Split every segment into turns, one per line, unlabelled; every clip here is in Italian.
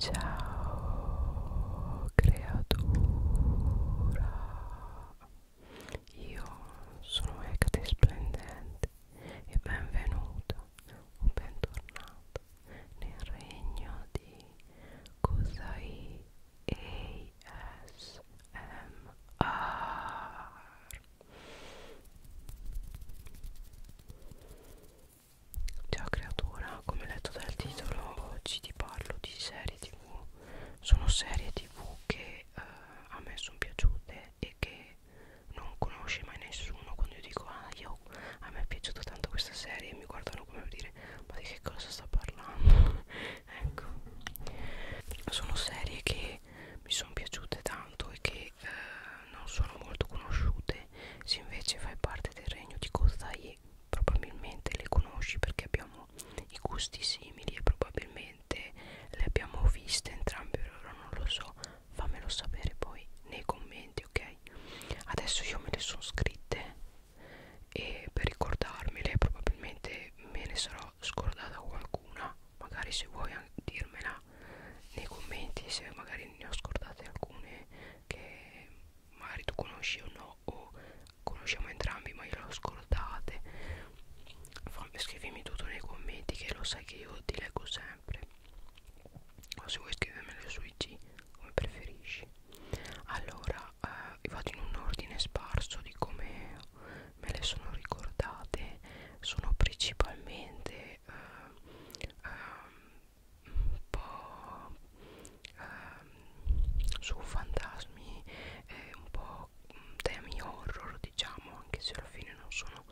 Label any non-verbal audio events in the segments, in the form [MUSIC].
Ciao creatura, io sono Ecate e benvenuta o bentornata nel regno di Kusai Ciao creatura, come letto dal titolo oggi ti parlo di serie tv Sono serie tv che eh, a me sono piaciute e che non conosce mai nessuno Quando io dico ah io, a me è piaciuta tanto questa serie e mi guardano come per dire ma di che cosa sta parlando [LAUGHS] Ecco, sono serie che mi sono piaciute tanto e che eh, non sono molto conosciute se invece fai parte del regno di Kozaye quindi probabilmente le conosci perché abbiamo i gusti simili e probabilmente le abbiamo viste entrambe allora non lo so fammelo sapere poi nei commenti ok adesso io me le sono scritte e per ricordarmele probabilmente me ne sarò scordata qualcuna magari se vuoi dirmela nei commenti se magari ne ho scordate alcune che magari tu conosci o no o conosciamo entrambi ma glielo ascoltate Fammi, scrivimi tutto nei commenti che lo sai che io ti leggo sempre o se vuoi scrivermelo su IG come preferisci allora eh, vado in un ordine sparso di come me le sono ricordate sono principalmente eh, eh, un po' ehm, su fantasmi eh, un po' mm, temi horror diciamo anche se alla fine non sono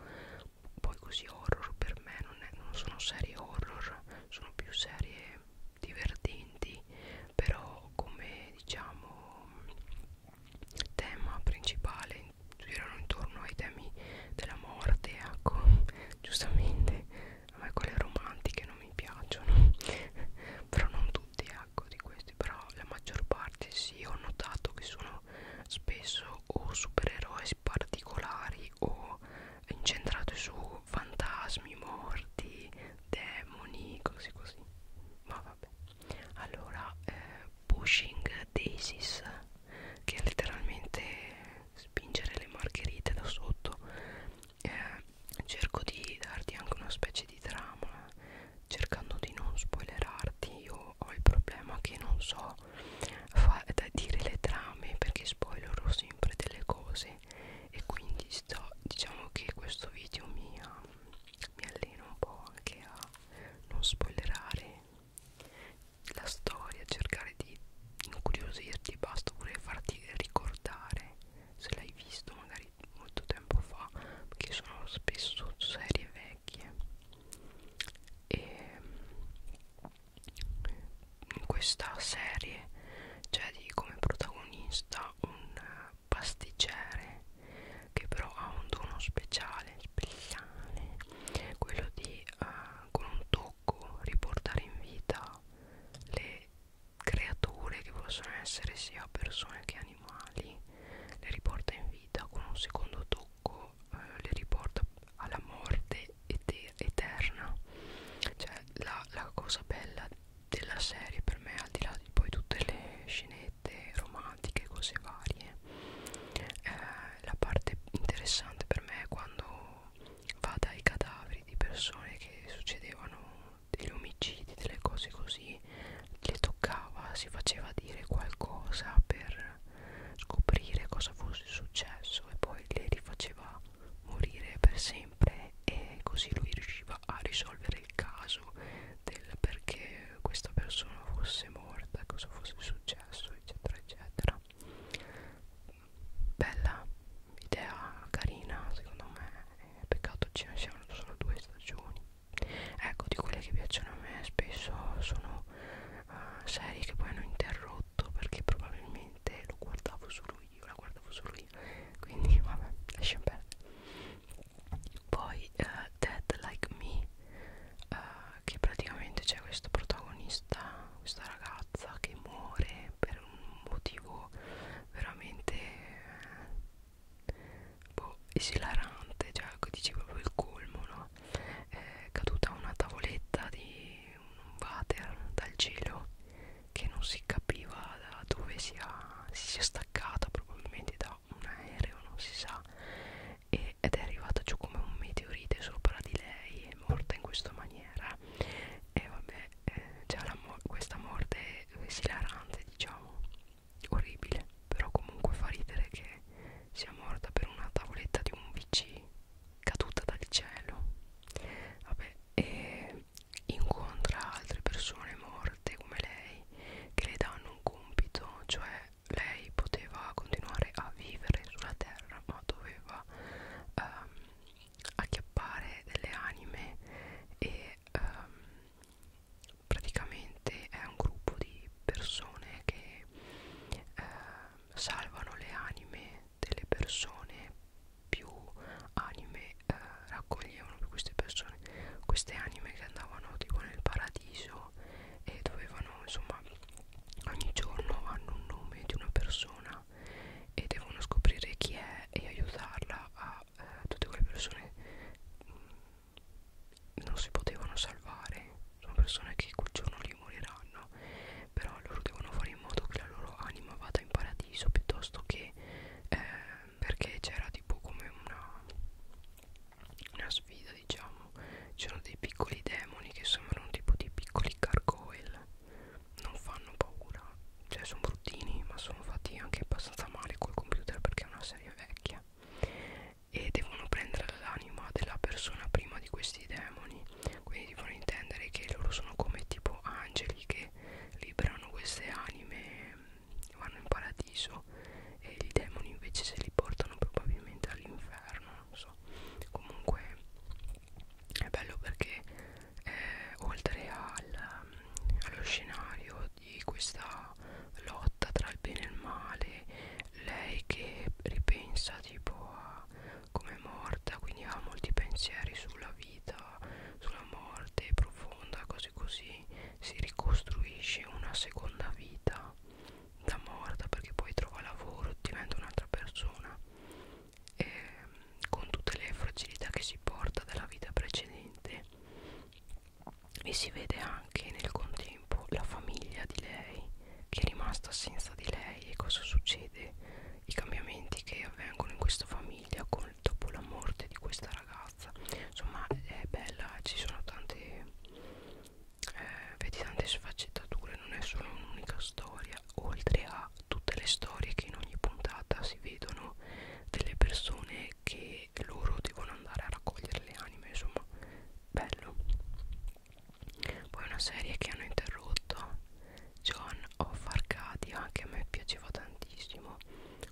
poi così horror per me non, è, non sono serie horror sono più serie divertenti però come diciamo tema principale girano intorno ai temi della morte ecco [LAUGHS] giustamente a me quelle romantiche non mi piacciono [LAUGHS] però non tutti ecco di questi però la maggior parte sì ho notato che sono spesso o supereroi particolari o incentrati su fantasmi morti demoni così così ma vabbè allora eh, pushing daisies che è letteralmente spingere le margherite da sotto eh, cerco di darti anche una specie di trama cercando di non spoilerarti io ho il problema che non so dire le trame perché spoilerò sempre delle cose e quindi sto diciamo che questo video mi, ha, ah, mi allena un po' anche a non spoilerare la storia cercare farti incuriosirti basta pure farti ricordare se l'hai visto magari molto tempo fa perché sono spesso serie vecchie e in mm, questa serie c'è di come protagonista un pasticcere che però ha un dono speciale speciale quello di uh, con un tocco gioco riportare in vita le creature che possono essere sia persone che animali le riporta in vita con un secondo tocco eh, le riporta alla morte eter eterna cioè la, la cosa bella della serie per me al di là di poi tutte le scenette romantiche cose varie eh, la parte interessante per me è quando va dai cadaveri di persone che succedevano degli omicidi, delle cose così, le toccava, si faceva dire qualcosa per scoprire cosa fosse successo e poi le rifaceva morire per sempre e così lui riusciva a risolvere il caso del perché questa persona fosse morta, cosa fosse successo eccetera eccetera bella idea carina secondo me eh, peccato ce ne siano solo due stagioni ecco di quelle che piacciono a me spesso sono uh, serie che poi hanno interrotto perché probabilmente lo guardavo solo io la guardavo solo io quindi [LAUGHS] vabbè lasciamo perdere poi uh, Dead Like Me uh, che praticamente c'è questo protagonista questa ragazza che muore per un motivo veramente eh, boh, esilarante, cioè ecco, dici proprio il colmo, no? È caduta una tavoletta di un water dal cielo che non si capiva da dove sia, si sia staccata, probabilmente da un aereo, non si sa, e, ed è arrivata giù come un meteorite sopra di lei, è morta in questa maniera. E vabbè, eh, c'è cioè, mo questa morte esilarante diciamo orribile però comunque fa ridere che sia morta per una tavoletta di un VC caduta dal cielo vabbè e incontra altre persone morte come lei che le danno un compito cioè lei poteva continuare a vivere sulla terra ma doveva ehm, acchiappare delle anime e um, praticamente è un gruppo di persone che uh, salvano le anime delle persone più anime uh, raccoglievano queste persone queste anime che andavano tipo nel paradiso e dovevano insomma ogni giorno hanno un nome di una persona persona e devono scoprire chi è e aiutarla a eh, tutte quelle persone mh, mm, non si potevano salvare sono persone che quel giorno lì moriranno però loro devono fare in modo che la loro anima vada in paradiso piuttosto che eh, perché c'era tipo come una una sfida diciamo c'erano dei piccoli demoni che sembrano tipo di piccoli gargoyle non fanno paura cioè sono bruttini ma sono fatti anche abbastanza male col computer perché è una serie vecchia e devono prendere l'anima della persona prima di questi demoni quindi devono intendere che loro sono come tipo angeli che liberano queste anime vanno in paradiso e i demoni invece se li portano probabilmente all'inferno non so comunque è bello perché eh, oltre al, mm, allo scenario di questa lotta tra il bene e il male lei che ripensa tipo a come è morta quindi ha molti pensieri sulla vita sulla morte profonda cose così si ricostruisce una seconda vita da morta perché poi trova lavoro diventa un'altra persona e ehm, con tutte le fragilità che si porta dalla vita precedente e si vede anche nel contempo la famiglia di lei che è rimasta senza di lei e cosa succede, i cambiamenti che avvengono in questa famiglia con, dopo la morte di questa ragazza. Insomma è bella, ci sono tante, eh, vedi tante sfaccettature, non è solo un'unica storia oltre a tutte le storie che in ogni puntata si vedono delle persone che loro devono andare a raccogliere le anime, insomma, bello. Poi una serie che hanno interrotto, John of Arcadia, che a me piaceva tantissimo,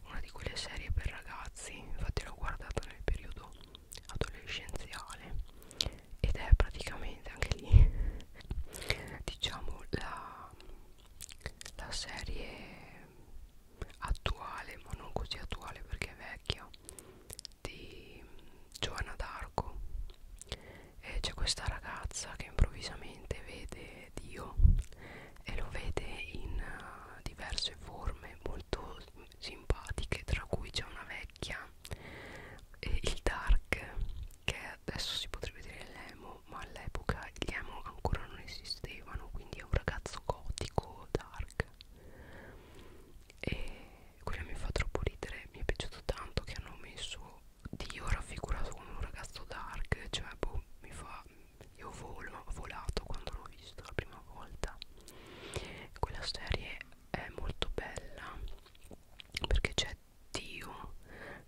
una di quelle serie per ragazzi, infatti l'ho guardata nel periodo adolescenziale ed è praticamente anche lì [LAUGHS] diciamo la la serie attuale ma non così attuale perché è vecchia di Giovanna d'Arco e c'è questa ragazza che improvvisamente vede Dio e lo vede in uh, diverse forme molto simpatiche tra cui c'è una vecchia e il dark che adesso si potrebbe dire l'emo ma all'epoca gli emo ancora non esistevano quindi è un ragazzo gotico dark e quello mi fa troppo ridere mi è piaciuto tanto che hanno messo Dio raffigurato come un ragazzo dark cioè boh mi fa io volo, ho volato quando l'ho visto la prima volta quella serie è molto bella perché c'è Dio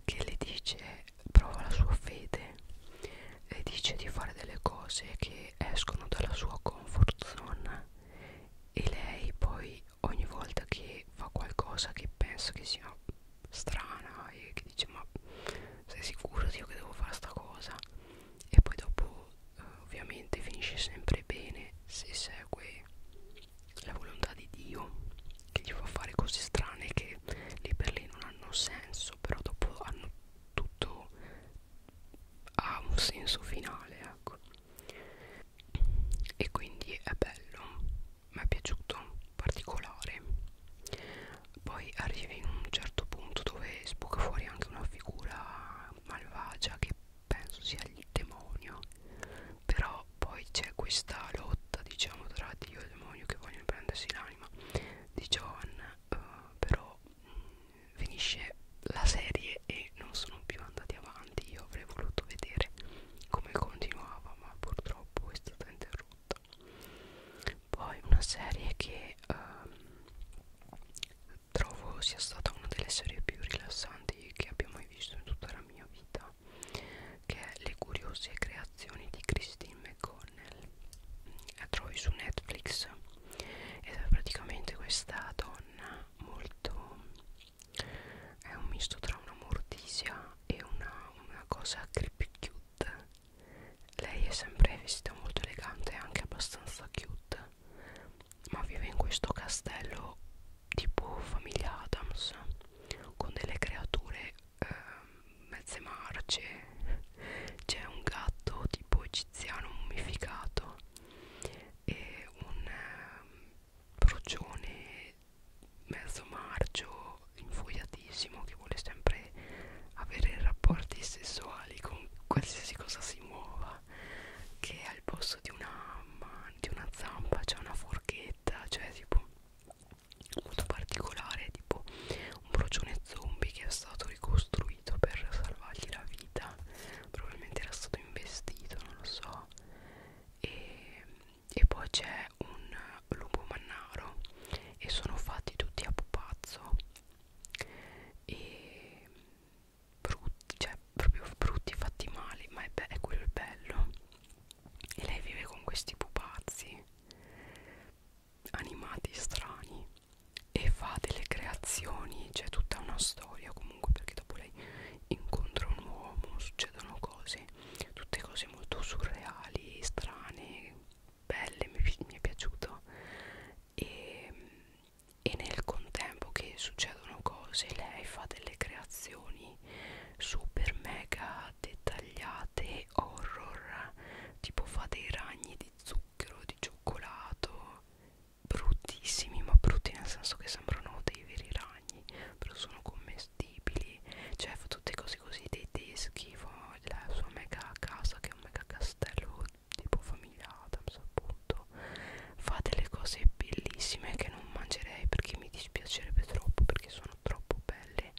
che le dice prova la sua fede le dice di fare delle cose che escono dalla sua comfort zone e lei poi ogni volta che fa qualcosa che pensa che sia strana e che dice ma sei sicuro di io che devo fare sta cosa e poi dopo eh, ovviamente finisce sempre bene se segue la volontà di Dio che gli fa fare cose strane che lì per lì non hanno senso però dopo hanno tutto ha un senso finale ecco e quindi è bello mi è piaciuto particolare poi arrivi in un certo punto dove sbuca fuori anche una figura malvagia che penso sia il demonio però poi c'è questa lotta diciamo tra Dio e il demonio che vogliono prendersi l'anima di John uh, eh, però mh, mm, finisce la serie e non sono più andati avanti io avrei voluto vedere come continuava ma purtroppo è stata interrotta poi una serie che uh, trovo sia stata una delle serie più rilassanti che abbia mai visto in tutta la mia vita che è Le curiose creazioni di Christine McConnell la trovi su Netflix ed è praticamente questa donna molto è un misto tra una mortisia e una, una cosa creepy cute lei è sempre vestita molto elegante e anche abbastanza cute ma vive in questo castello tipo famiglia Adams con delle creature eh, mezze marce c'è un gatto tipo egiziano mummificato e un eh, procione mezzo marcio infogliatissimo che vuole sempre avere rapporti sessuali con qualsiasi cosa si muova che al posto di una, man di una zampa c'è una forchetta cioè tipo molto particolare tipo un procione zombie che è stato ricostruito per salvargli la vita probabilmente era stato investito non lo so e, e poi c'è un lupo mannaro e sono fatti tutti a pupazzo e brutti cioè proprio brutti fatti male ma è, è quello il bello e lei vive con questi pupazzi animati strani e fa delle creazioni c'è tutta una storia comunque perché dopo lei incontra un uomo succedono cose tutte cose molto surreali strane belle mi, mi è piaciuto e, e nel contempo che succedono cose lei fa delle creazioni super mega dettagliate e horror tipo fa dei ragni di zucchero, di cioccolato bruttissimi ma brutti nel senso che sembrano dei veri ragni però sono commestibili cioè fa tutte cose così dei teschi fa la sua mega casa che è un mega castello tipo famiglia Adams appunto fa delle cose bellissime che non mangerei perché mi dispiacerebbe troppo perché sono troppo belle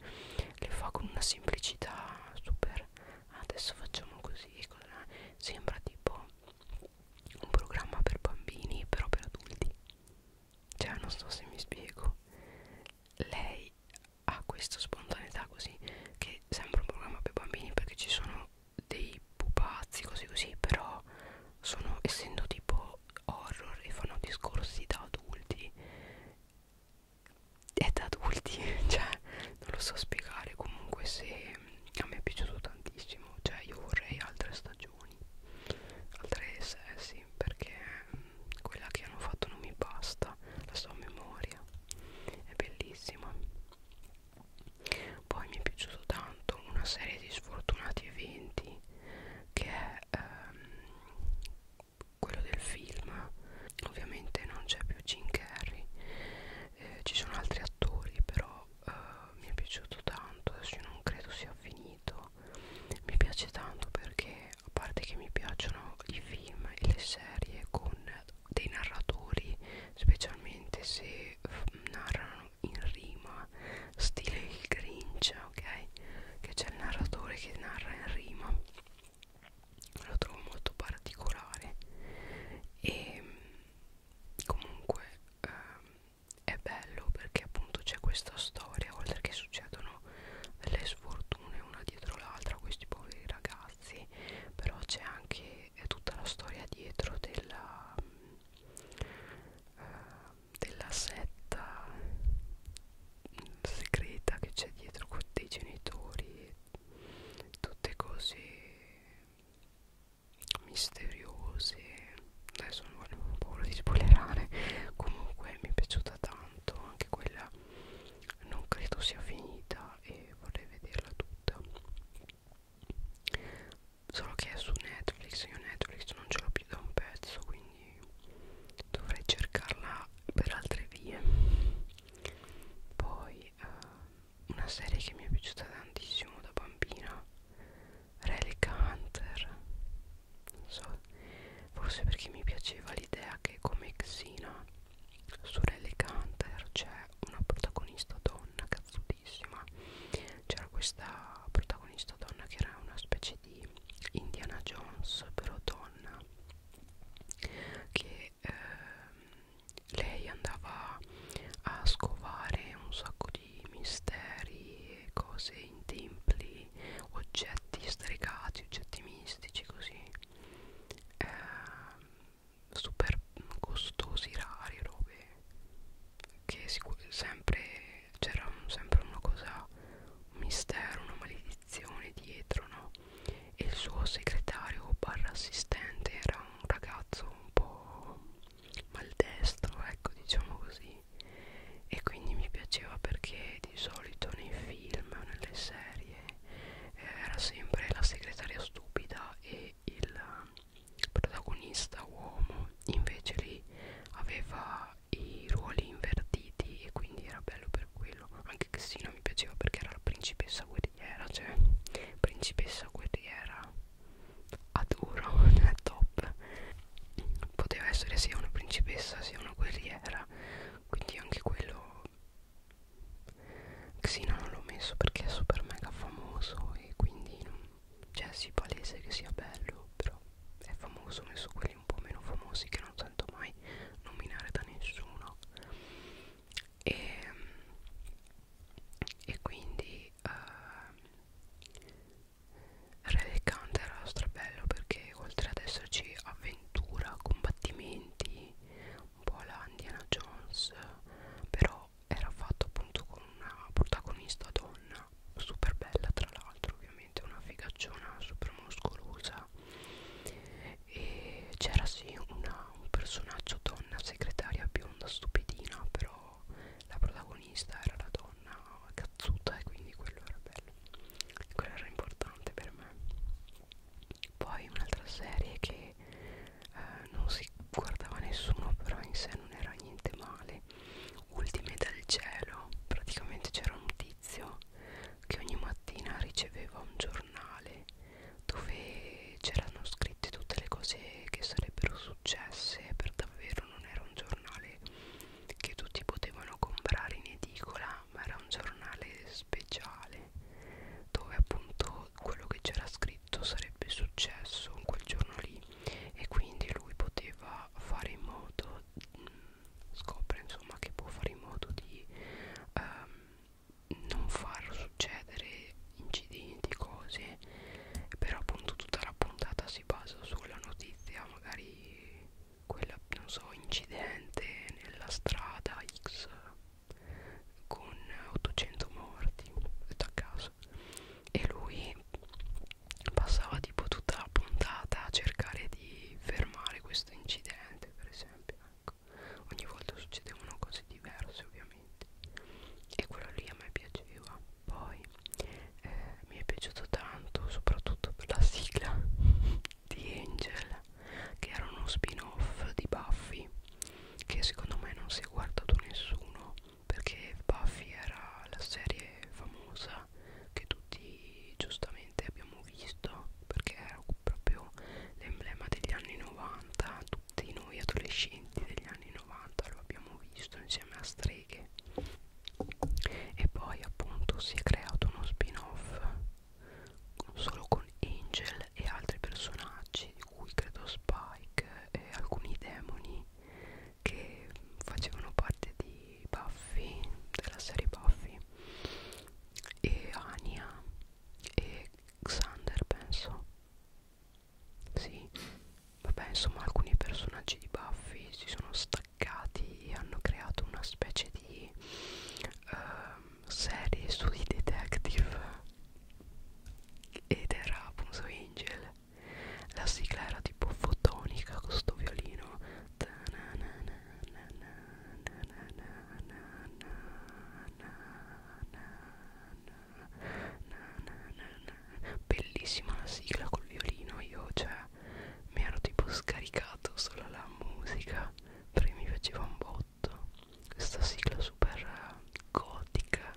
le fa con una semplicità super adesso facciamo così sembra tipo un programma per bambini però per adulti cioè non so se mi spiego lei ha questa spontaneità così che sembra un programma per bambini perché ci sono dei pupazzi così così però sono essendo tipo horror e fanno discorsi da adulti è da adulti [LAUGHS] cioè non lo so spiegare comunque se a me è piaciuto tantissimo cioè io vorrei altre stagioni altre sessi perché mm, quella che hanno fatto non mi basta la so a memoria è bellissima poi mi è piaciuto tanto una serie di sfortunati eventi che è ehm, quello del film ovviamente non c'è più Jim Carrey eh, ci sono altri attori però eh, mi è piaciuto tanto adesso io non credo sia finito mi piace tanto perché a parte che mi piacciono i film e le serie con dei narratori specialmente se narrano in rima stile il Grinch ok che c'è il narratore che narra in rima lo trovo molto particolare e comunque ehm, è bello perché appunto c'è questa storia oltre che succedono le sfortune una dietro l'altra a questi poveri ragazzi però c'è anche tutta la storia dietro della, eh, della setta segreta che c'è dietro con dei genitori tutte cose misteriose adesso non ho paura di spoilerare comunque mi è piaciuta tanto anche quella non credo sia finita e vorrei vederla tutta solo che è su Netflix io Netflix non ce l'ho più da un pezzo quindi quindi dovrei cercarla per altre vie poi uh, una serie che mi è piaciuta tantissimo da bambina Relica Hunter non so forse perché mi piaceva l'idea che come Xena su Relica Hunter c'è una protagonista donna cazzutissima c'era questa protagonista donna che era una specie di Indiana Jones però donna che ehm, lei andava a scovare un sacco di misteri, cose in templi, oggetti stregati, oggetti mistici così ehm, super costosi, rari, robe che sempre c'era un, sempre una cosa, un mistero, una maledizione dietro, no? e il suo segretario barra assistente era un ragazzo un po' maldestro, ecco diciamo così e quindi mi piaceva perché di solito nei film o nelle serie eh, era sempre la segretaria stupida e il protagonista uomo invece lì aveva i ruoli invertiti e quindi era bello per quello anche Cristina mi piaceva perché era la principessa guerriera cioè principessa guerriera adoro [LAUGHS] è top poteva essere sia una principessa sia una guerriera quindi anche quello Xina non l'ho messo perché è super mega famoso e quindi non, cioè si palese che sia bello però è famoso ho messo quelli magari un po' meno famosi che non sento mai nominare da nessuno e, ehm, e quindi uh, ehm, Red Count era strabello perché oltre ad esserci avventura, combattimenti un po' la Indiana Jones però era fatto appunto con una protagonista donna super bella tra l'altro ovviamente una figacciona super muscolosa e c'era sì una, un personaggio donna segretaria bionda stupidina però la protagonista era la donna cazzuta e quindi quello era bello quello era importante per me poi un'altra serie che eh, non si guardava nessuno però in sé non era niente male ultime dal cielo praticamente c'era un tizio tizio che ogni mattina riceveva un giornale dove c'erano scritte tutte le cose che sarebbero successe per davvero non era un giornale che tutti potevano comprare in edicola ma era un giornale speciale dove appunto quello che c'era scritto sarebbe successo in quel giorno lì e quindi lui poteva fare in modo mm, scopre insomma che può fare in modo di um, non far succedere incidenti, cose però appunto tutta la puntata si basa sulla notizia magari quella, non so, incidente nella strada X con 800 morti detto a caso e lui passava tipo tutta la puntata a cercare di fermare questo incidente per esempio ecco. ogni volta succedevano cose diverse ovviamente e quello lì a me piaceva poi eh, mi è piaciuto tanto soprattutto per la sigla [LAUGHS] di Angel che era uno spin off di Buffy che secondo me non si è guardato nessuno perché Buffy era la serie famosa che tutti poi giustamente abbiamo visto perché era proprio l'emblema degli anni 90 tutti noi adolescenti degli anni 90 lo abbiamo visto insieme a streghe e poi appunto si è creato uno spin off solo con Angel e altri personaggi di cui credo Spike e alcuni demoni che facevano parte di Buffy della serie Buffy e Ania e Xander penso sì vabbè insomma alcuni personaggi di Buffy si sono staccati e hanno creato una specie di uh, serie sui detective ed era appunto Angel la sigla era tipo fotonica questo violino Bellissima la sigla col violino, io cioè mi ero tipo scaricato solo la musica perché mi faceva un botto questa sigla super gotica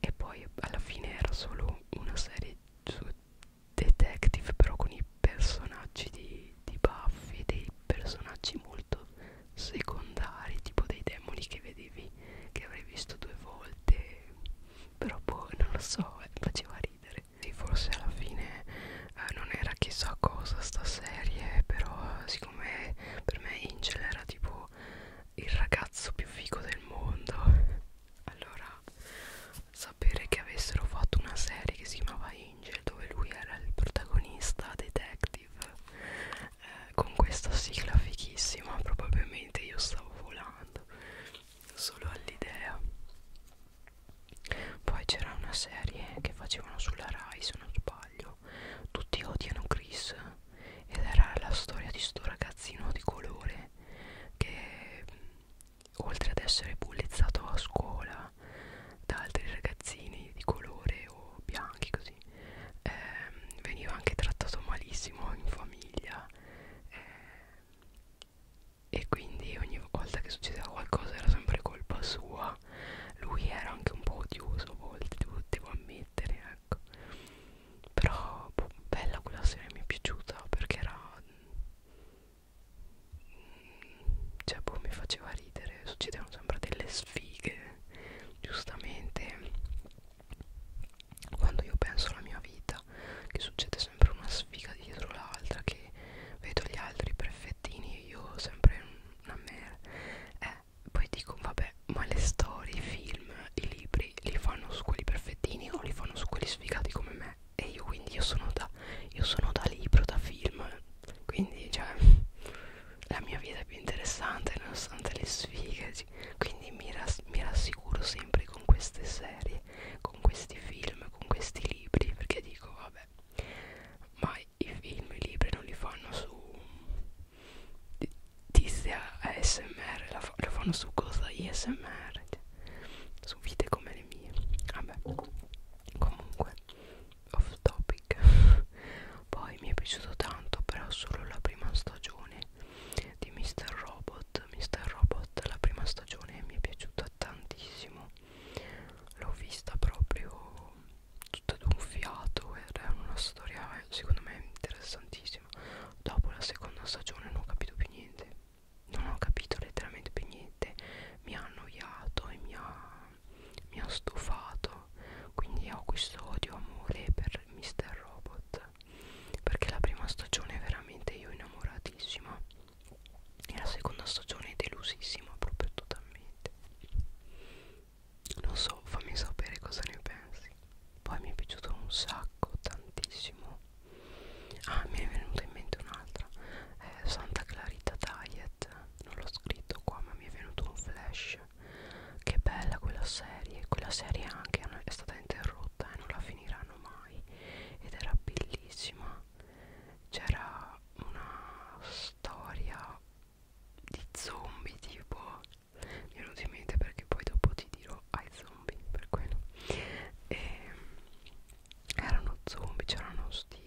e poi alla fine era solo una serie su detective però con i personaggi di, di Buffy dei personaggi molto secondari tipo dei demoni che vedevi che avrei visto due volte però poi boh, non lo so eh, faceva ridere e forse alla fine eh, non era chissà cosa sta serie però eh, siccome per me Angel era tipo il ragazzo più figo del mondo [LAUGHS] allora sapere che avessero fatto una serie che si chiamava Angel dove lui era il protagonista detective eh, con questa sigla fichissima probabilmente io stavo volando solo all'idea poi c'era una serie che facevano sulla Rai se non sbaglio tutti odiano Chris ed era la storia di sto ragazzino di colore che oltre ad essere bullizzato a scuola da altri ragazzini di colore o bianchi così ehm, veniva anche trattato malissimo in famiglia eh, e quindi ogni volta che succedeva qualcosa era sempre colpa sua lui era anche un po' odioso a volte devo, devo ammettere ecco però boh, bella quella serie mi è piaciuta perché era cioè boh mi faceva ridere succedevano sempre delle sfighe giustamente quando io penso alla mia vita che succede sempre una sfiga dietro l'altra che vedo gli altri perfettini e io sempre una merda eh, poi dico vabbè ma le storie, i film, i libri li fanno su quelli perfettini o li fanno su quelli sfigati come me e io quindi io sono da io sono da libro da film quindi cioè la mia vita è più interessante nonostante le sfighe quindi mi, ras mi rassicuro sempre con queste serie con questi film con questi libri perché dico vabbè ma i film i libri non li fanno su tizia ASMR la fa lo fanno su cosa ISMR cioè, su vite come le mie vabbè comunque off topic poi mi è piaciuto tanto però solo la prima stagione di Mr. Robot Mr. Robot la prima stagione mi è piaciuta tantissimo l'ho vista proprio tutta d'un fiato era una storia secondo me interessantissima dopo la seconda stagione non ho capito più niente non ho capito letteralmente più niente mi ha annoiato e mi ha mi ha stufato quindi ho questo odio amore per Mr. Robot perché la prima stagione veramente io innamoratissima e la seconda stagione delusissima proprio totalmente non so fammi sapere cosa ne pensi poi mi è piaciuto un sacco tantissimo ah mi è venuta in mente un'altra eh, Santa Clarita Diet non l'ho scritto qua ma mi è venuto un flash che bella quella serie quella serie anche è stata interrotta e non la finiranno mai ed era bellissima c'era una storia di zombie tipo mi è venuto in mente perché poi dopo ti dirò ai zombie per quello e ehm, erano zombie c'erano sti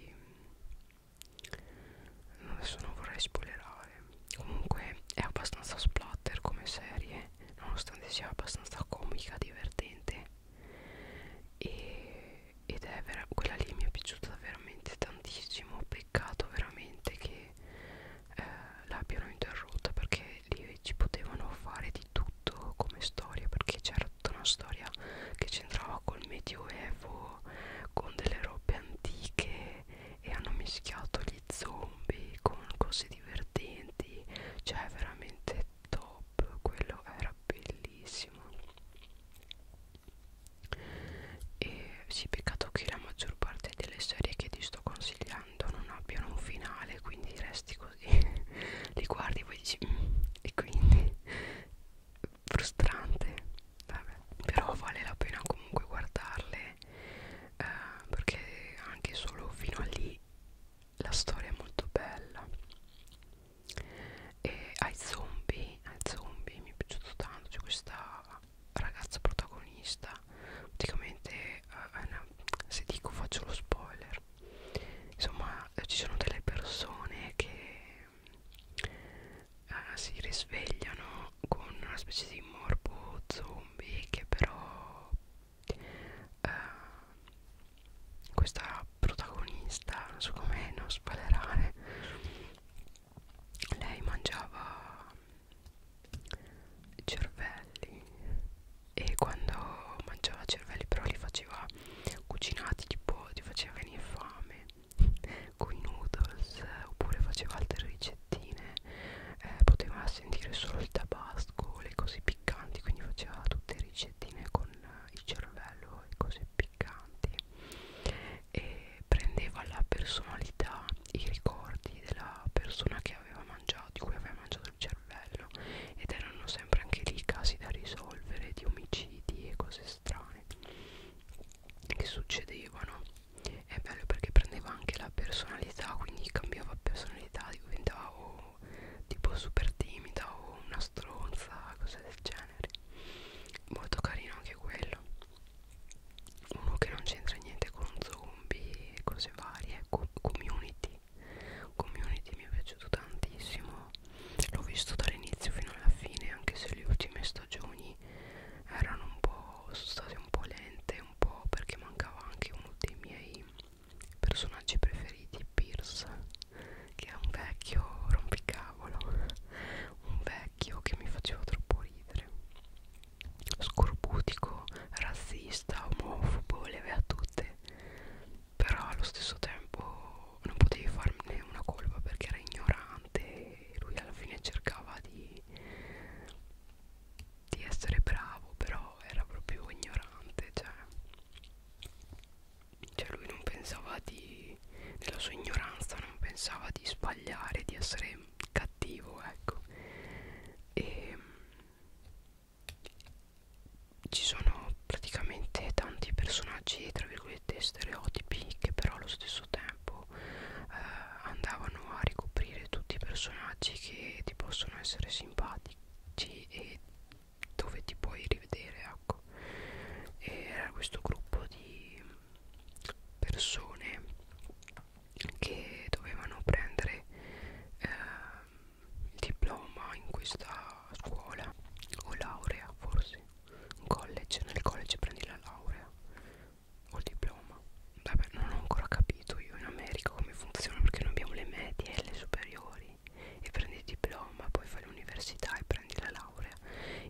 adesso non vorrei spoilerare comunque è abbastanza splatter come serie nonostante sia abbastanza comica divertente e, ed è vera quella lì mi è piaciuta veramente tantissimo peccato veramente che eh, l'abbiano interrotta perché lì ci potevano fare di tutto come storia perché c'era era tutta una storia che c'entrava col medioevo con delle robe antiche e hanno mischiato gli zombie con cose divertenti cioè veramente top quello era bellissimo e sì peccato che la maggior parte delle serie che ti sto consigliando non abbiano un finale quindi resti così [LAUGHS] li guardi e poi dici mm, e quindi frustrante Vabbè. però vale la pena comunque guardarle eh, perché anche solo fino a lì la storia è molto bella e ai zombie ai zombie mi è piaciuto tanto c'è questa ragazza protagonista praticamente eh, una, se dico faccio lo spoiler insomma ci sono delle persone che eh, si risvegliano con una specie di morbo zombie che però eh, questa protagonista non so come non spoilerare lei mangiava cervelli e quando mangiava cervelli però li faceva cucinati tipo ti faceva venire fame con [LAUGHS] i noodles oppure faceva altre ricettine eh, poteva sentire solo il tabasco le cose piccanti quindi faceva tutte ricettine con eh, il cervello e cose piccanti e prendeva la personalità i ricordi della persona che aveva mangiato di cui aveva mangiato il cervello ed erano sempre anche lì casi da risolvere di omicidi e cose strane che succedevano è bello perché prendeva anche la personalità quindi cambiava personalità diventava o tipo super timida o una stronza cose del genere molto carino anche quello uno che non c'entra niente con zombie e cose varie com community community mi è piaciuto tantissimo l'ho visto dall'inizio fino alla fine anche se le ultime stagioni erano un po' sono state un po' lente un po' perché mancava anche uno dei miei personaggi preferiti Pierce che è un vecchio rompicavolo un vecchio che mi faceva troppo ridere scorbutico razzista omofobo le aveva tutte però allo stesso tempo però non potevi farne una colpa perché era ignorante e lui alla fine cercava di, di essere bravo però era proprio ignorante cioè, cioè lui non pensava di nella sua ignoranza non pensava di sbagliare di essere cattivo ecco e ci sono praticamente tanti personaggi tra virgolette cosiddetti stereotipi che però allo stesso tempo eh, andavano a ricoprire tutti i personaggi che ti possono essere simpatici e dove ti puoi rivedere ecco e era questo gruppo di persone che dovevano prendere eh, il diploma in questa scuola o laurea forse un college, nel college prendi la laurea o il diploma. Vabbè, non ho ancora capito io in America come funziona perché noi abbiamo le medie e le superiori e prendi il diploma, poi fai l'università e prendi la laurea.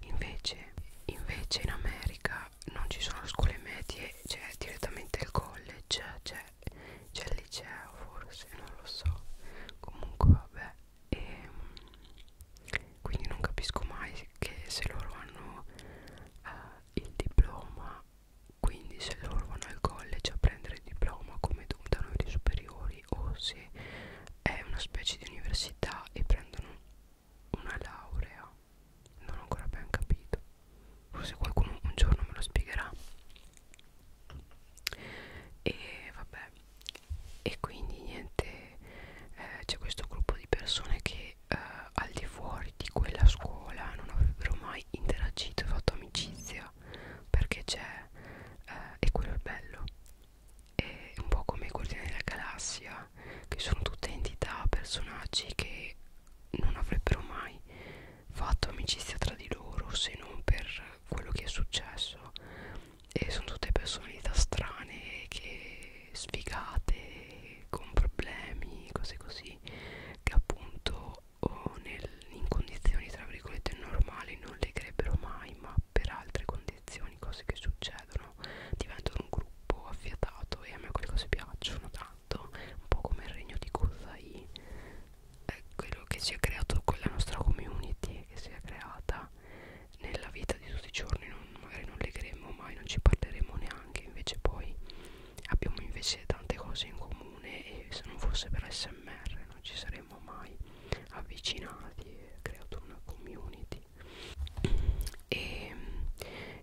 Invece, invece in America non ci sono scuole medie, c'è cioè direttamente il college, cioè, c'è cioè il liceo forse, non lo so. Comunque vabbè. E, ehm, quindi non capisco mai che se loro hanno eh, il diploma quindi se loro vanno al college a prendere il diploma come da noi superiori o se è una specie di università e prendono una laurea non ho ancora ben capito forse qualcuno un giorno me lo spiegherà e vabbè e quindi niente eh, c'è questo gruppo di persone che eh, al di fuori di quella scuola non avrebbero mai interagito e fatto amicizia perché c'è eh, e quello è bello è un po' come i Guardiani della Galassia che sono tutte entità, personaggi che non avrebbero mai fatto amicizia tra di loro se non per quello che è successo e sono tutte personalità strane che sfigate con problemi cose così che appunto o nel, in condizioni tra virgolette normali non legherebbero mai ma per altre condizioni cose che succedono diventano un gruppo affiatato e a me quelle cose piacciono tanto un po' come il regno di Kozai è quello che si è creato con la nostra community che si è creata realtà nella vita di tutti i giorni non, magari non legheremo mai, non ci parleremo neanche, invece poi abbiamo invece tante cose in comune e se non fosse per SMR non ci saremmo mai avvicinati e creato una community. E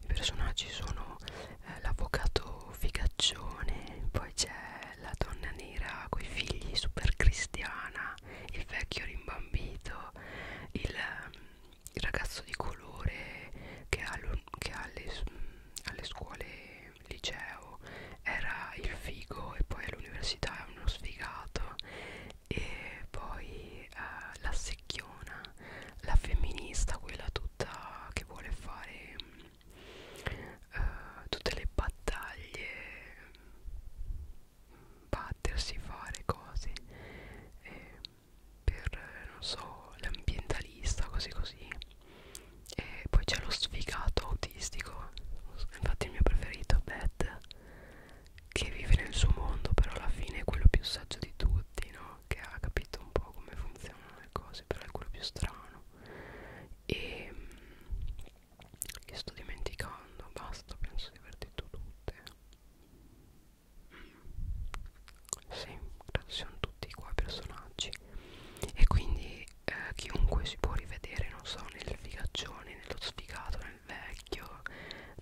i personaggi sono eh, l'avvocato figaccione, poi c'è la donna nera coi figli super cristiana il vecchio rimbambito, il, il ragazzo di colore che, che alle, alle scuole liceo era il figo e poi all'università è uno sfigato e poi eh, la secchiona, la femminista, quella tutta che vuole fare eh, tutte le battaglie battersi, fare cose eh, per, non so, l'ambientalista, così così. E poi c'è lo sfigato autistico, infatti il mio preferito è Beth, che vive nel suo mondo, però alla fine è quello più saggio di tutti, no? Che ha capito un po' come funzionano le cose, però è quello più strano. E mm, che sto dimenticando, basta, penso di aver detto tutte. Sì, sono tutti qua personaggi e quindi eh, chiunque si può rivedere, non so, nel figaccione, nello sfigato, nel vecchio,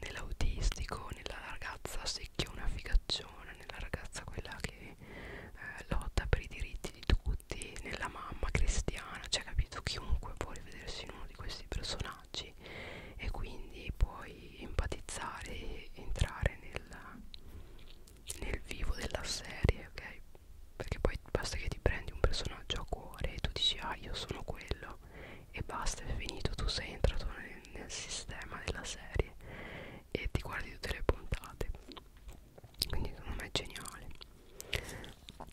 nell'autistico, nella ragazza secchiona figacciona, nella ragazza quella che eh, lotta per i diritti di tutti, nella mamma cristiana, cioè capito, chiunque può rivedersi in uno di questi personaggi personaggi e quindi puoi empatizzare e entrare nel, nel vivo della serie, ok? Perché poi basta che ti prendi un personaggio a cuore e tu dici ah io sono quello e basta, è finito, tu sei entrato nel, nel sistema della serie e ti guardi tutte le puntate quindi secondo me è geniale e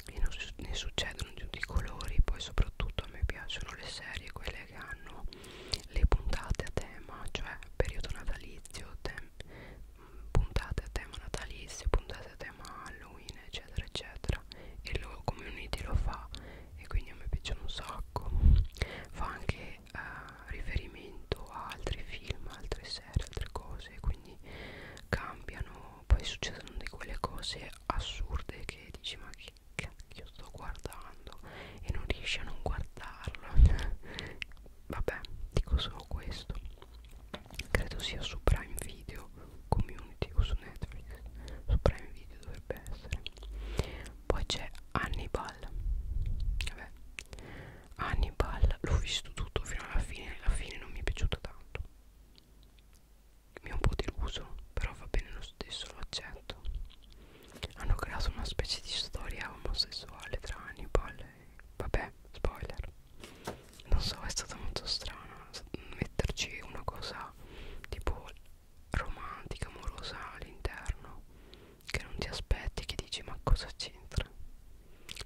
ne, su ne succedono vedono tutti i colori poi soprattutto a me piacciono le serie quelle che hanno le puntate a tema cioè periodo natalizio puntate a tema natalizio puntate a tema halloween eccetera eccetera e lo community lo fa e quindi a me piacciono un sacco fa anche eh, riferimento a altri film altre serie altre cose quindi cambiano poi succedono di quelle cose assurde che dici ma chi cacchio sto guardando e non riesci a non guardarlo [LAUGHS] vabbè dico solo questo credo sia su Prime Video Community o su Netflix su Prime Video dovrebbe essere poi c'è Hannibal vabbè Hannibal l'ho visto tutto fino alla fine alla fine non mi è piaciuto tanto mi ha un po' deluso, però va bene lo stesso, lo accetto. Hanno creato una specie di storia omosessuale tra Hannibal e... vabbè, spoiler. Non so, è stato molto strano metterci una cosa tipo romantica, amorosa all'interno, che non ti aspetti, che dici ma cosa c'entra?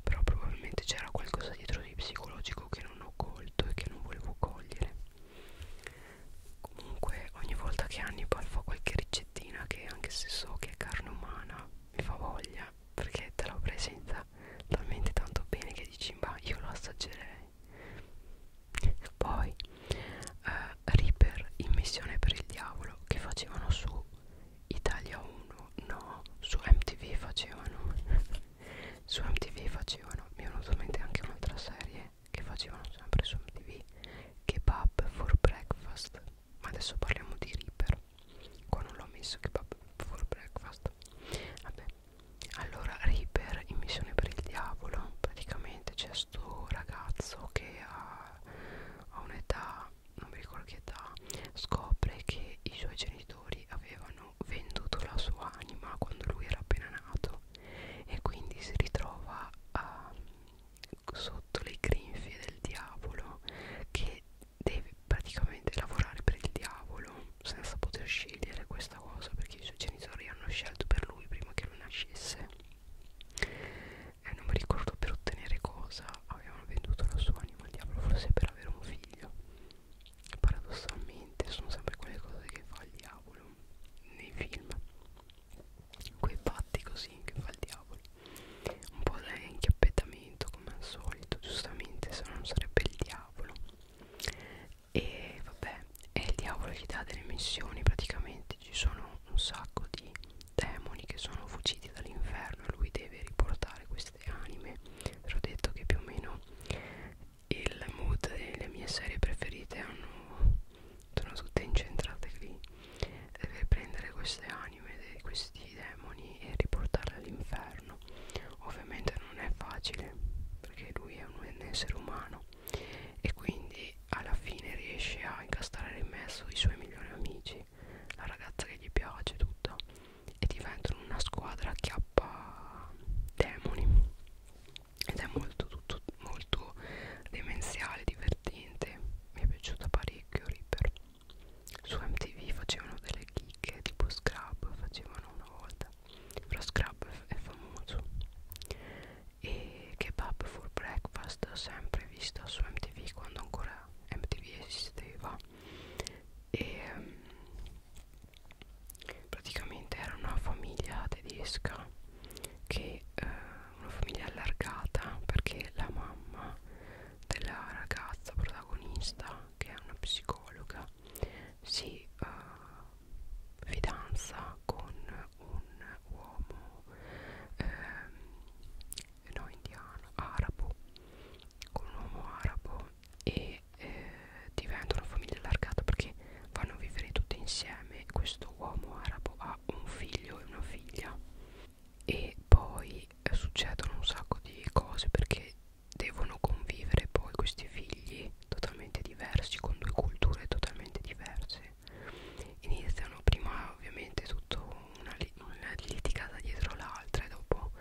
Però probabilmente c'era qualcosa dietro di psicologico che non ho colto e che non volevo cogliere comunque ogni volta che Hannibal fa qualche ricettina che anche se so che è carne umana mi fa voglia perché te la presenta talmente tanto bene che dici ma io lo assaggerei poi eh, Reaper in missione per il diavolo che facevano su Italia 1 no su MTV facevano [LAUGHS] su MTV facevano mi è venuto in mente anche un'altra serie che facevano sempre su MTV Kebab for breakfast ma adesso parliamo di Reaper qua non l'ho messo Kebab for breakfast vabbè allora Reaper in missione per il diavolo praticamente c'è sto ragazzo che ha, ha un'età non mi ricordo che età scopre che i suoi genitori avevano venduto la sua anima quando lui era appena nato e quindi si ritrova a, ehm, sotto le grinfie del diavolo che deve praticamente lavorare per il diavolo senza poter scegliere questa cosa perché i suoi genitori hanno scelto per lui prima che lui nascesse e non mi ricordo per ottenere cosa avevano venduto la sua anima al diavolo forse per avere un figlio paradossalmente sono sempre quelle cose che fa il diavolo nei film quei fatti così che fa il diavolo un po' da inchiappettamento come al solito giustamente se non sarebbe il diavolo e vabbè è il diavolo che dà delle missioni praticamente ci sono un sacco di demoni che sono fuggiti dall'inferno e lui deve riportare queste anime però ho detto che più o meno il mood delle mie serie preferite hanno, sono tutte incentrate lì per prendere queste anime dei, questi demoni e riportarle all'inferno ovviamente non è facile perché lui è un, un essere umano e quindi alla fine riesce a incastrare in mezzo i suoi migliori amici la ragazza che gli piace tutto e diventano una squadra acchiappa demoni ed è molto tutto molto demenziale divertente mi è piaciuta parecchio Reaper su MTV facevano delle chicche tipo Scrub facevano una volta però Scrub è famoso e Kebab for Breakfast sempre vista su MTV quando ancora MTV esisteva e praticamente era una famiglia tedesca che eh, una famiglia allargata perché la mamma della ragazza protagonista che è una psicologa si eh, fidanza con un uomo eh, no indiano arabo con un uomo arabo e eh, diventa una famiglia allargata perché vanno a vivere tutti insieme questo uomo arabo ha un figlio e una figlia e poi eh, succedono un sacco di cose perché devono convivere poi questi figli totalmente diversi con due culture totalmente diverse iniziano prima ovviamente tutto una, li una litigata dietro l'altra e dopo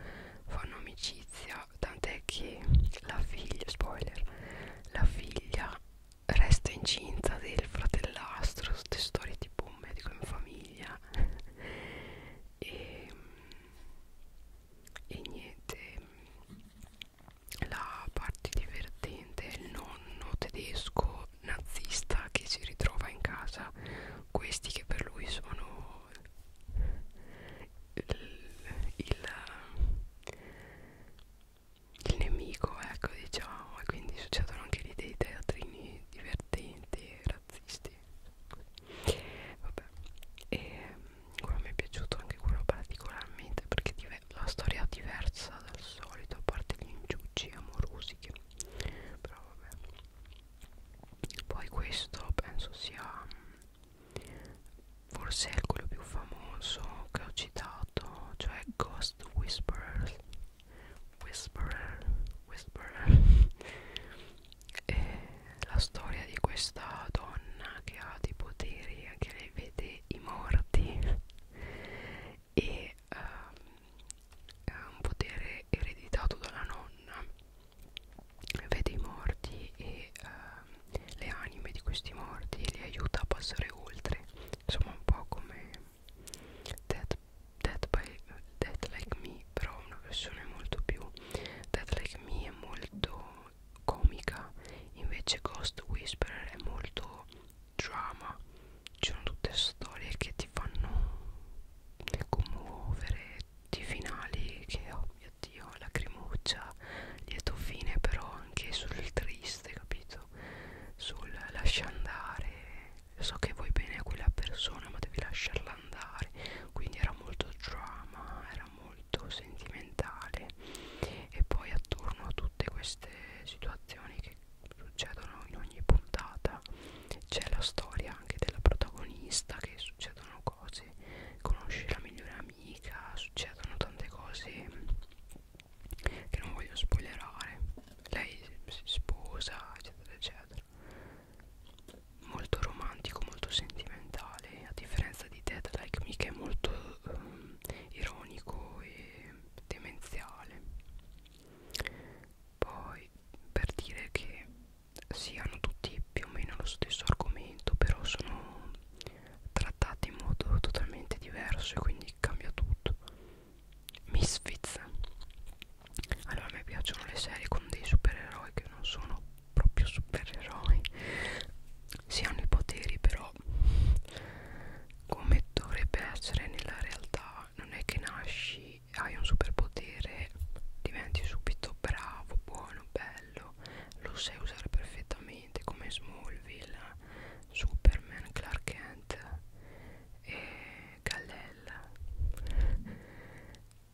fanno amicizia tant'è che la figlia spoiler la figlia resta incinta del fratellastro, queste storie tipo un medico in famiglia [LAUGHS] e, e niente, la parte divertente è il nonno tedesco nazista che si ritrova in casa, questi che per lui sono il, il il nemico, ecco diciamo, e quindi succedono anche lì dei teatrini divertenti, razzisti. Vabbè, e ehm, quello mi è piaciuto anche quello particolarmente perché la storia è diversa dal solito, a parte gli inciucci amorosi che però vabbè. Poi questo penso sia forse è quello più famoso che ho citato cioè Ghost Whisperer Whisperer Whisperer [LAUGHS] e la storia di questa donna che ha dei poteri anche lei vede i morti e um, ha un potere ereditato dalla nonna vede i morti e um, le anime di questi morti e li aiuta a passare oltre insomma un po' come Dead, Dead, by, Dead Like Me però una versione molto più Dead Like Me è molto comica invece Ghost Whisperer è molto drama ci sono tutte storie che ti fanno commuovere di finali che oh mio dio lacrimuccia lieto fine però anche sul triste capito appunto sul lascia andare so che vuoi bene a quella persona ma devi lasciarla andare quindi era molto drama era molto sentimentale e poi attorno a tutte queste situazioni che succedono in ogni puntata c'è la storia anche della protagonista che succedono cose conosce la migliore amica succedono tante cose che non voglio spoilerare lei si sposa eccetera eccetera molto romantico molto sentimentale a differenza di Dead Like Me che è molto um, ironico e demenziale poi per dire che si hanno tutti più o meno lo stesso argomento però sono trattati in modo totalmente diverso e quindi cambia tutto Misfits allora a me piacciono le serie con dei supereroi che non sono proprio supereroi si hanno i poteri però come dovrebbe essere nella realtà non è che nasci hai un superpotere diventi subito bravo buono bello lo sai usare perfettamente come Smallville Superman, Clark Kent e Kal-El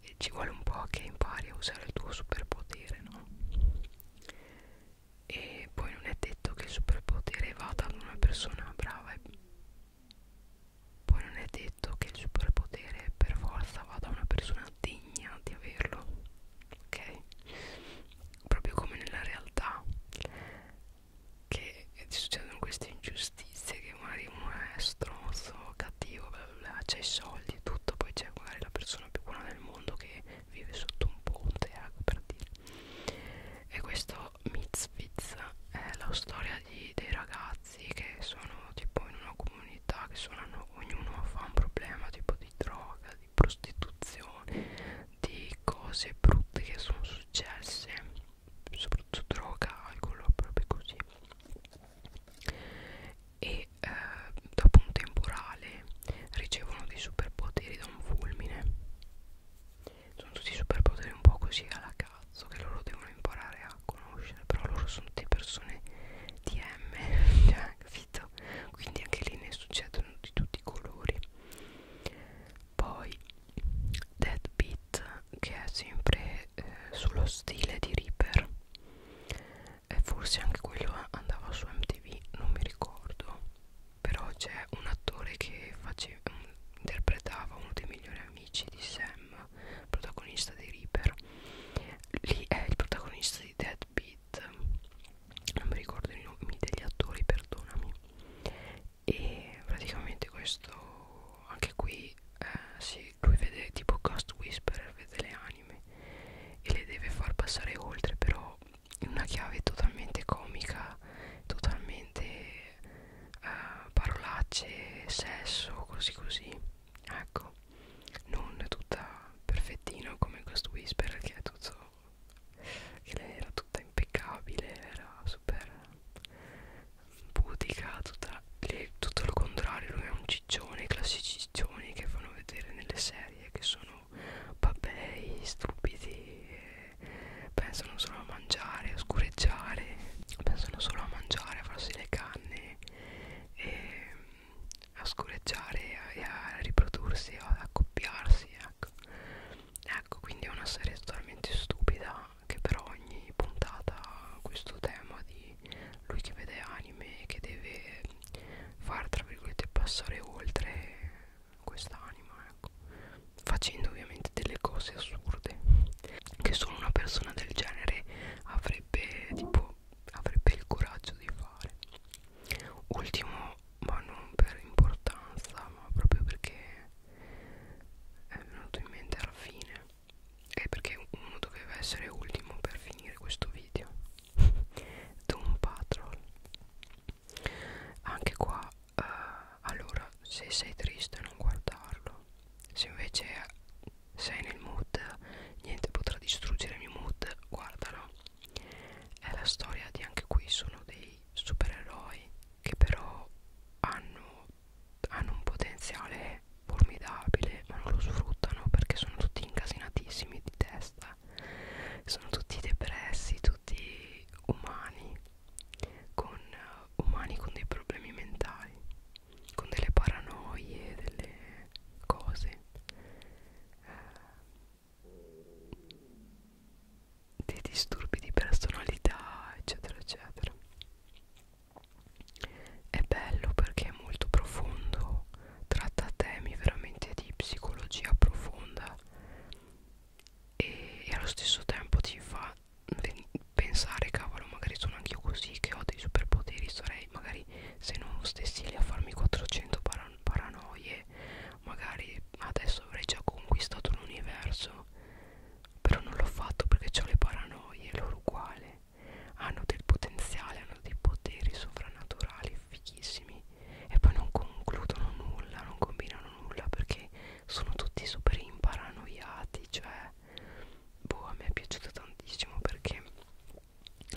e ci vuole un po' che impari a usare il tuo superpotere, no? E poi non è detto che il superpotere vada ad una persona brava e poi non è detto che il superpotere per forza vada a una persona degna di averlo, ok? proprio come nella realtà che ti succedono queste ingiustizie che magari uno è stronzo, cattivo, bla bla bla, c'è i soldi e tutto, poi c'è magari la persona più buona del mondo che vive sotto un ponte, ecco per dire. E questo Mitzvitz è la storia di, dei ragazzi che sono tipo in una comunità che sono, ognuno fa un problema tipo di droga, di prostituzione, di cose brutte che sono successe soprattutto droga, alcol, proprio così e eh, dopo un temporale ricevono dei superpoteri da un fulmine sono tutti superpoteri un po' così alla cazzo che loro devono imparare a conoscere però loro sono tutte persone DM [LAUGHS] cioè vita quindi anche lì ne succedono di tutti i colori poi Deadbeat che è sempre eh, sullo stile di Reaper e forse anche quello andava su MTV non mi ricordo però c'è un attore che face, mm, interpretava uno dei migliori amici di Sam protagonista di Reaper lì è il protagonista di Deadbeat Pitt non mi ricordo i nomi degli attori perdonami e praticamente questo anche qui eh, sì, lui vede tipo Ghost Whisperer vede le anime e le deve far passare oltre però in una chiave totalmente comica totalmente eh, parolacce sesso così così ecco non tutta perfettina come Ghost Whisperer che è tutto che lei era tutta impeccabile, era super pudica, tutta, lei, tutto il contrario, lui è un ciccione, i classici ciccioni che fanno vedere nelle serie che sono papei, stupidi, pensano solo a mangiare, a scureggiare, pensano solo a mangiare, a farsi le canne e a scureggiare e a riprodursi, a accoppiarsi, ecco ecco quindi è una serie totalmente stupida che però ogni puntata ha questo tema di lui che vede anime e che deve far tra virgolette passare oltre quest'anima ecco facendo ovviamente delle cose assurde che solo una persona del genere avrebbe tipo avrebbe il coraggio di fare ultimo ma non per importanza ma proprio perché è venuto in mente alla fine e perché uno doveva essere ultimo per finire questo video [LAUGHS] Doom Patrol anche qua eh, allora se sei triste non guardarlo se invece sei nel mood niente potrà distruggere il mio mood guardalo è la storia di anche qui sono dei supereroi che però hanno, hanno un potenziale formidabile ma non lo sfruttano perché sono tutti incasinatissimi di testa sono tutti depressi tutti umani con uh, umani con dei problemi mentali con delle paranoie delle cose eh, dei disturbi di personalità eccetera eccetera è bello perché è molto profondo tratta temi veramente di psicologia profonda e, e allo stesso tempo ti fa pensare cavolo magari sono anch'io così che ho dei superpoteri sarei magari se non stessi lì a farmi 400 paran paranoie magari adesso avrei già conquistato l'universo però non l'ho fatto perché ho le paranoie loro uguale hanno del potenziale hanno dei poteri sovrannaturali fighissimi e poi non concludono nulla non combinano nulla perché sono tutti super imparanoiati cioè boh a me è piaciuto tantissimo perché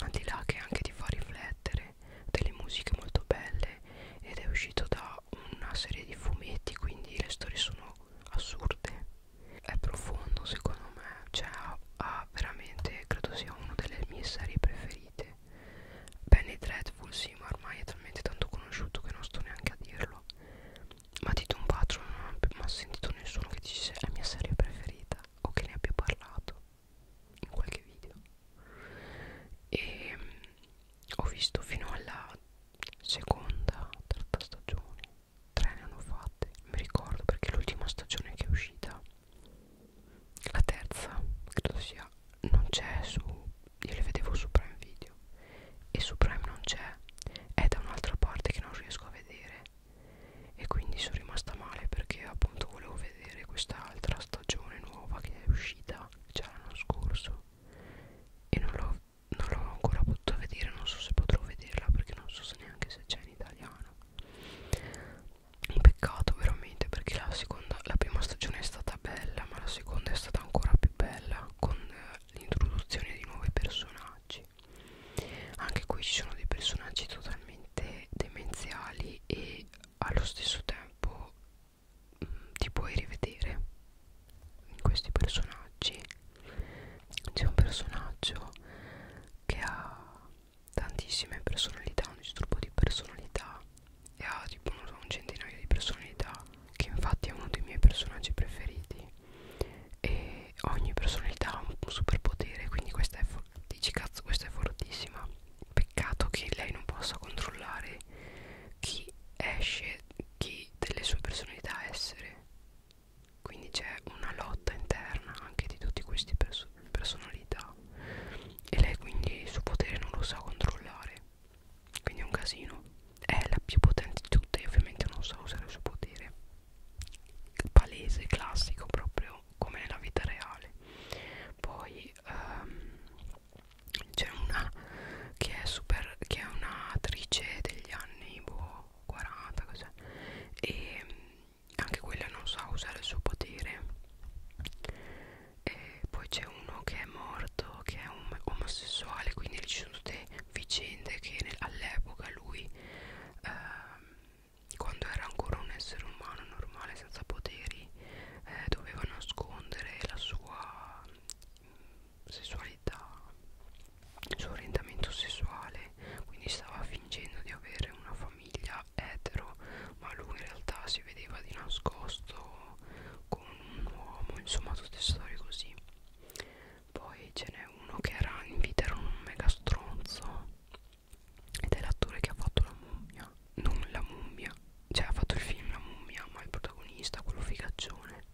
al di là che anche ti fa riflettere genere delle musiche molto belle ed è uscito da una serie di fumetti quindi le storie sono assurde è profondo secondo me cioè ha, ha veramente credo sia una delle mie serie preferite Penny Dreadful sì ma ormai è talmente tanto conosciuto che non sto neanche a dirlo ma di Don Patron non ho mai sentito nessuno che dicesse è la mia serie preferita o che ne abbia parlato in qualche video e ehm, ho visto fino alla seconda terza stagione tre ne hanno fatte mi ricordo perché l'ultima stagione che è uscita la terza credo sia non c'è su io le vedevo su Prime Video e su Prime non c'è è da un'altra parte che non riesco a vedere e quindi sono rimasta male perché appunto volevo vedere quest'altra stagione nuova che è uscita già già l'anno scorso e non l'ho non l'ho ancora potuto vedere, non so se potrò vederla perché non so se neanche se c'è in italiano. Un peccato veramente perché la, seconda, la prima stagione è stata bella, ma la seconda è stata ancora più bella con eh, l'introduzione di nuovi personaggi. Anche qui ci sono dei personaggi totalmente demenziali e allo stesso tempo ti puoi rivedere in questi personaggi c'è un personaggio che ha tantissime personalità un disturbo di personalità e ha tipo so, un centinaio di personalità che infatti è uno dei miei personaggi preferiti e ogni personalità ha un superpotere quindi questa è dici cazzo questa è fortissima peccato che lei non possa controllare chi esce, chi delle sue personalità essere. Quindi c'è una lotta interna anche di tutti questi pers personalità e lei quindi il suo potere non lo sa controllare. Quindi è un casino. È la più potente di tutte e ovviamente non sa usare il suo potere. Palese, classico proprio come nella vita reale. Poi um, c'è una che è super che è un'attrice degli anni boh, 40 cos'è e mm, anche quella non sa usare il suo potere e poi c'è uno che è morto che è un omosessuale quindi ci sono tutte vicende che all'epoca lui eh, quando era ancora un essere umano normale senza poteri eh, doveva nascondere la sua sessualità il suo orientamento sessuale quindi stava fingendo di avere una famiglia etero ma lui in realtà si vedeva di nascosto con un uomo insomma tutte storie così poi ce n'è uno che era in vita era un mega stronzo ed è l'attore che ha fatto la mummia non la mummia cioè ha fatto il film La mummia ma il protagonista quello figaccione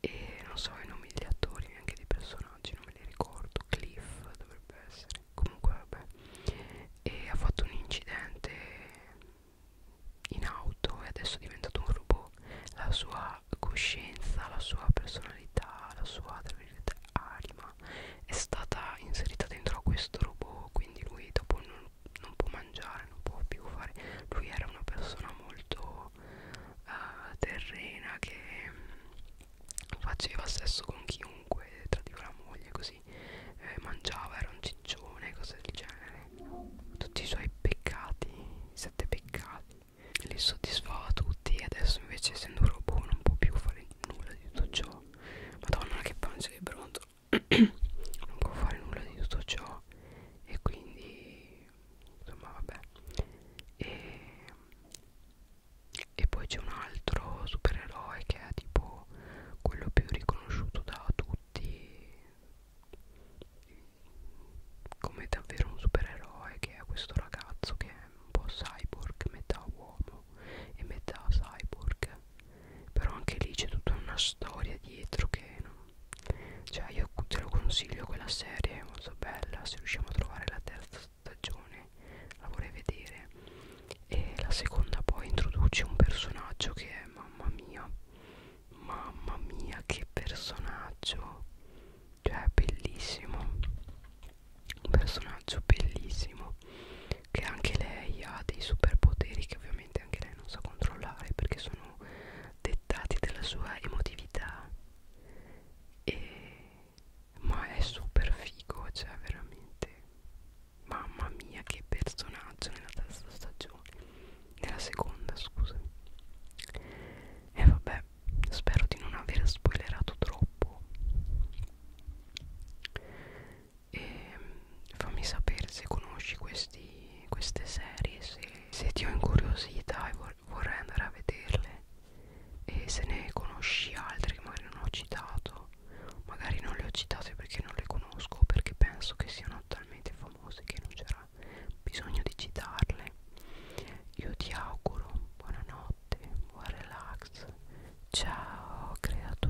e non so i nomi degli attori neanche dei personaggi non me li ricordo Cliff dovrebbe essere comunque vabbè e ha fatto un incidente in auto e adesso è diventato un robot la sua coscienza la sua personalità la sua tra virgolette anima è stata inserita dentro a questo robot quindi lui dopo non non, non può mangiare, non può più fare. Lui era una persona molto uh, terrena che mm, faceva sesso con chiunque, tradiva la moglie così, eh, mangiava, era un ciccione, cose del genere. Tutti i suoi peccati, i sette peccati, li soddisfava tutti e adesso invece essendo un robot non può più fare nulla di tutto ciò. Madonna che pancia di bronzo. [COUGHS] non può fare nulla di tutto ciò e quindi insomma vabbè e, e poi c'è un altro supereroe che è tipo quello più riconosciuto da tutti come davvero un supereroe che è questo ragazzo che è un po' cyborg metà uomo e metà cyborg però anche lì c'è tutta una storia dietro che non... cioè io te lo consiglio quella serie è molto bella se riusciamo a trovare la terza stagione la vorrei vedere e la seconda poi introduce un personaggio che è mamma mia mamma mia che personaggio cioè bellissimo un personaggio bellissimo che anche lei ha dei superpoteri che ovviamente sicuramente anche lei non sa controllare perché sono dettati dalla sua emotività e ma è super figo cioè veramente mamma mia che personaggio nella terza stagione nella seconda scusami e vabbè spero di non aver spoilerato troppo e fammi sapere se conosci questi, queste serie, se, se ti ho incuriosita e vor, vorrei andare a vederle e se ne conosci altre che magari non ho citato, magari non le ho citate perché non le conosco, perché penso che siano talmente famose che non c'era bisogno di citarle. Io ti auguro buonanotte, buon relax, ciao creatura.